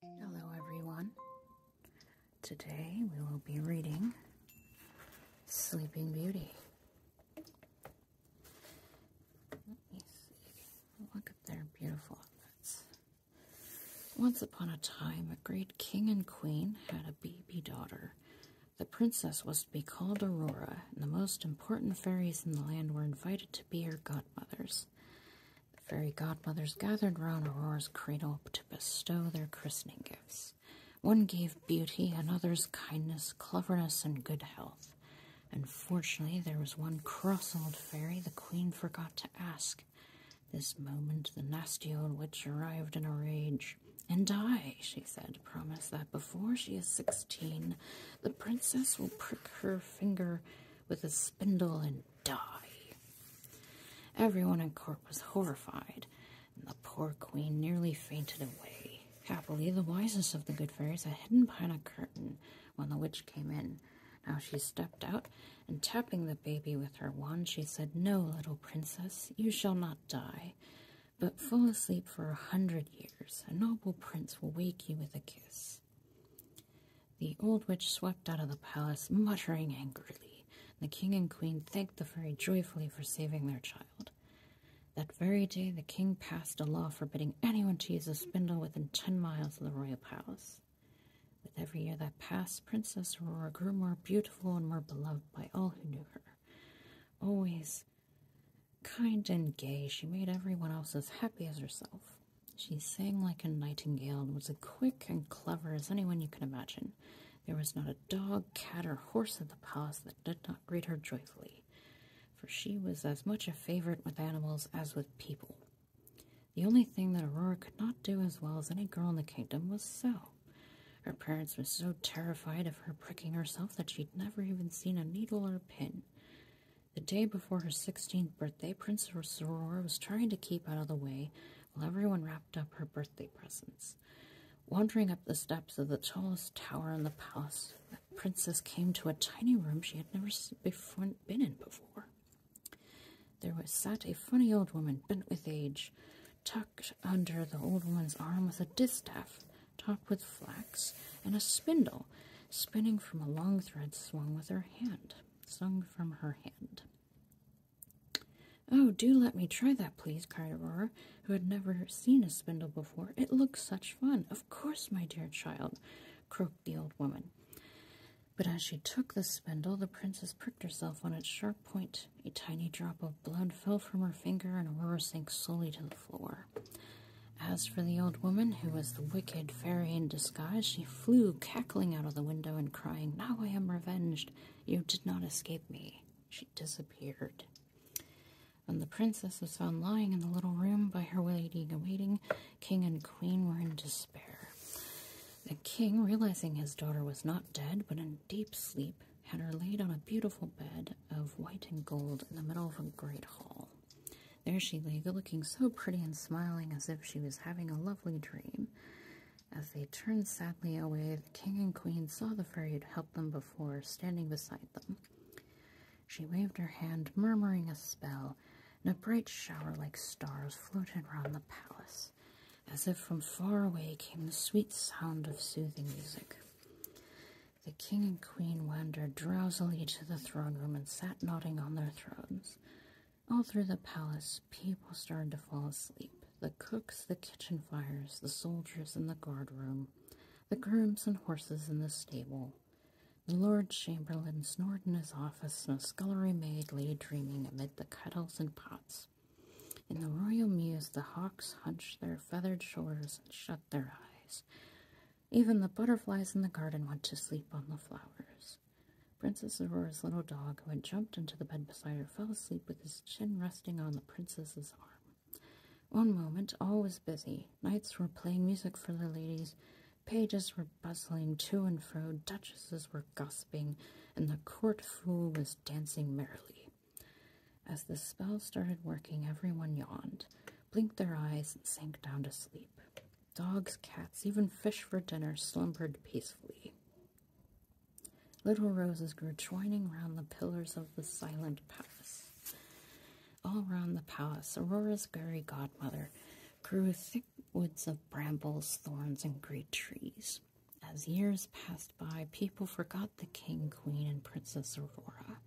Hello, everyone. Today we will be reading Sleeping Beauty. Look at their beautiful outfits. Once upon a time, a great king and queen had a baby daughter. The princess was to be called Aurora, and the most important fairies in the land were invited to be her godmothers. The fairy godmothers gathered round Aurora's cradle to bestow their christening gifts. One gave beauty, another's kindness, cleverness, and good health. Unfortunately, there was one cross old fairy the queen forgot to ask. This moment the nasty old witch arrived in a rage. And I, she said, promise that before she is sixteen, the princess will prick her finger with a spindle and die. Everyone in court was horrified, and the poor queen nearly fainted away. Happily, the wisest of the good fairies had hidden behind a curtain when the witch came in. Now she stepped out, and tapping the baby with her wand, she said, No, little princess, you shall not die, but fall asleep for a hundred years. A noble prince will wake you with a kiss. The old witch swept out of the palace, muttering angrily. The king and queen thanked the fairy joyfully for saving their child. That very day, the king passed a law forbidding anyone to use a spindle within ten miles of the royal palace. With every year that passed, Princess Aurora grew more beautiful and more beloved by all who knew her. Always kind and gay, she made everyone else as happy as herself. She sang like a nightingale and was as quick and clever as anyone you can imagine. There was not a dog, cat, or horse in the palace that did not greet her joyfully, for she was as much a favorite with animals as with people. The only thing that Aurora could not do as well as any girl in the kingdom was sew. Her parents were so terrified of her pricking herself that she'd never even seen a needle or a pin. The day before her sixteenth birthday, Princess Aurora was trying to keep out of the way while everyone wrapped up her birthday presents. Wandering up the steps of the tallest tower in the palace, the princess came to a tiny room she had never before, been in before. There was sat a funny old woman, bent with age, tucked under the old woman's arm was a distaff topped with flax and a spindle spinning from a long thread swung with her hand, swung from her hand. Oh, do let me try that, please, cried Aurora, who had never seen a spindle before. It looks such fun. Of course, my dear child, croaked the old woman. But as she took the spindle, the princess pricked herself on its sharp point. A tiny drop of blood fell from her finger, and Aurora sank slowly to the floor. As for the old woman, who was the wicked fairy in disguise, she flew cackling out of the window and crying, Now I am revenged! You did not escape me! She disappeared. When the princess was found lying in the little room by her waiting in waiting, king and queen were in despair. The king, realizing his daughter was not dead but in deep sleep, had her laid on a beautiful bed of white and gold in the middle of a great hall. There she lay, looking so pretty and smiling as if she was having a lovely dream. As they turned sadly away, the king and queen saw the fairy who helped them before standing beside them. She waved her hand, murmuring a spell, and a bright shower like stars floated round the palace. As if from far away came the sweet sound of soothing music. The king and queen wandered drowsily to the throne room and sat nodding on their thrones. All through the palace, people started to fall asleep the cooks, the kitchen fires, the soldiers in the guard room, the grooms and horses in the stable. The Lord Chamberlain snored in his office, and a scullery maid lay dreaming amid the kettles and pots. In the royal mews, the hawks hunched their feathered shoulders and shut their eyes. Even the butterflies in the garden went to sleep on the flowers. Princess Aurora's little dog, who had jumped into the bed beside her, fell asleep with his chin resting on the princess's arm. One moment all was busy. Knights were playing music for the ladies, pages were bustling to and fro, duchesses were gossiping, and the court fool was dancing merrily. As the spell started working, everyone yawned blinked their eyes, and sank down to sleep. Dogs, cats, even fish for dinner slumbered peacefully. Little roses grew twining round the pillars of the silent palace. All round the palace, Aurora's fairy godmother grew thick woods of brambles, thorns, and great trees. As years passed by, people forgot the king, queen, and Princess Aurora.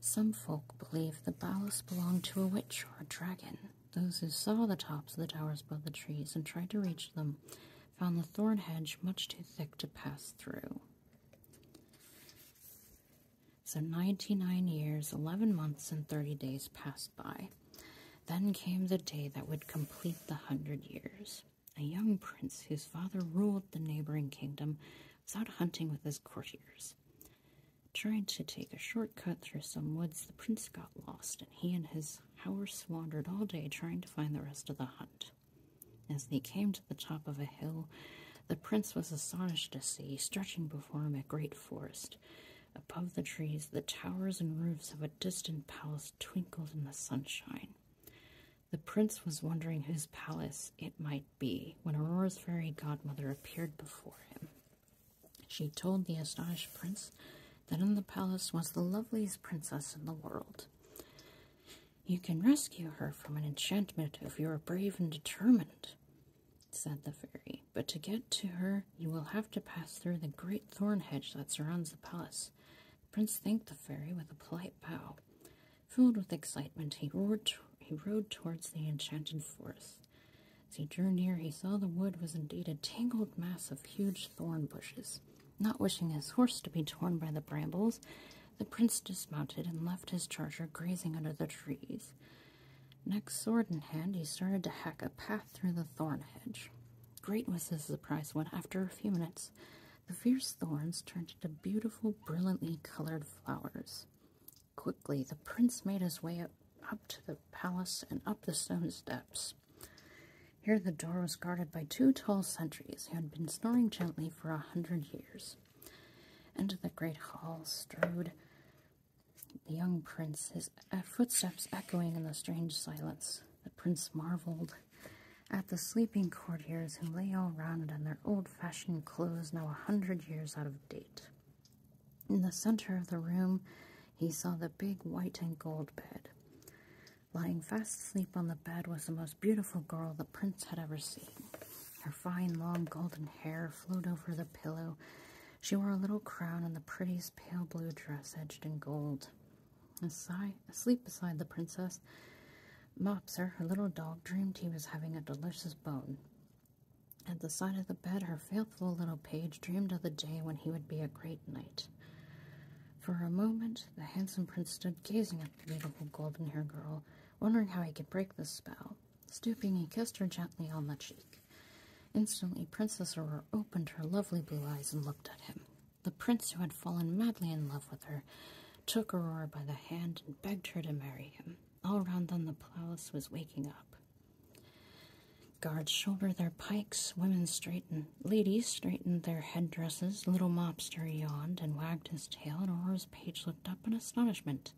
Some folk believed the ballast belonged to a witch or a dragon. Those who saw the tops of the towers above the trees and tried to reach them found the thorn hedge much too thick to pass through. So, ninety nine years, eleven months, and thirty days passed by. Then came the day that would complete the hundred years. A young prince whose father ruled the neighboring kingdom was out hunting with his courtiers. Trying to take a shortcut through some woods, the prince got lost, and he and his horse wandered all day trying to find the rest of the hunt. As they came to the top of a hill, the prince was astonished to see, stretching before him, a great forest. Above the trees, the towers and roofs of a distant palace twinkled in the sunshine. The prince was wondering whose palace it might be when Aurora's fairy godmother appeared before him. She told the astonished prince that in the palace was the loveliest princess in the world. You can rescue her from an enchantment if you are brave and determined, said the fairy, but to get to her you will have to pass through the great thorn hedge that surrounds the palace. The prince thanked the fairy with a polite bow. Filled with excitement, he, roared he rode towards the enchanted forest. As he drew near, he saw the wood was indeed a tangled mass of huge thorn bushes. Not wishing his horse to be torn by the brambles, the prince dismounted and left his charger grazing under the trees. Next, sword in hand, he started to hack a path through the thorn hedge. Great was his surprise when, after a few minutes, the fierce thorns turned into beautiful, brilliantly colored flowers. Quickly, the prince made his way up, to the palace and up the stone steps. Here, the door was guarded by two tall sentries who had been snoring gently for a hundred years. Into the great hall strode the young prince, his uh, footsteps echoing in the strange silence. The prince marveled at the sleeping courtiers who lay all round in their old-fashioned clothes now a hundred years out of date. In the center of the room he saw the big white and gold bed. Lying fast asleep on the bed was the most beautiful girl the prince had ever seen. Her fine long golden hair flowed over the pillow. She wore a little crown and the prettiest pale blue dress edged in gold. Asleep beside the princess Mopser, her little dog, dreamed he was having a delicious bone. At the side of the bed, her faithful little page dreamed of the day when he would be a great knight. For a moment, the handsome prince stood gazing at the beautiful golden haired girl, wondering how he could break the spell. Stooping, he kissed her gently on the cheek. Instantly, Princess Aurora opened her lovely blue eyes and looked at him. The prince, who had fallen madly in love with her, took Aurora by the hand and begged her to marry him. All round them the palace was waking up. Guards shoulder their pikes, women straightened, ladies straightened their headdresses, little mobster yawned and wagged his tail, and Aurora's page looked up in astonishment.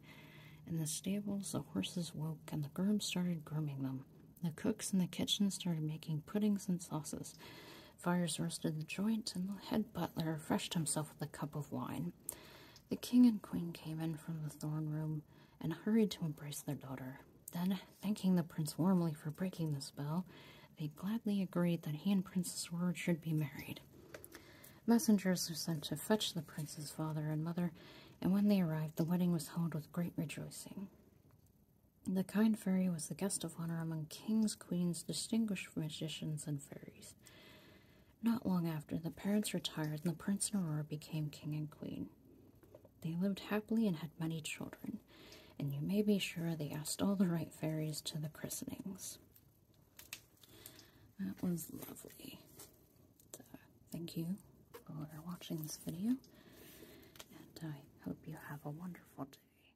In the stables the horses woke, and the grooms started grooming them. The cooks in the kitchen started making puddings and sauces. Fires roasted the joint, and the head butler refreshed himself with a cup of wine. The king and queen came in from the thorn room and hurried to embrace their daughter. Then, thanking the prince warmly for breaking the spell, they gladly agreed that he and Princess Ward should be married. Messengers were sent to fetch the prince's father and mother, and when they arrived, the wedding was held with great rejoicing. The kind fairy was the guest of honor among kings, queens distinguished magicians and fairies. Not long after, the parents retired and the prince and Aurora became king and queen. They lived happily and had many children, and you may be sure they asked all the right fairies to the christenings. That was lovely. Uh, thank you for watching this video, and I hope you have a wonderful day.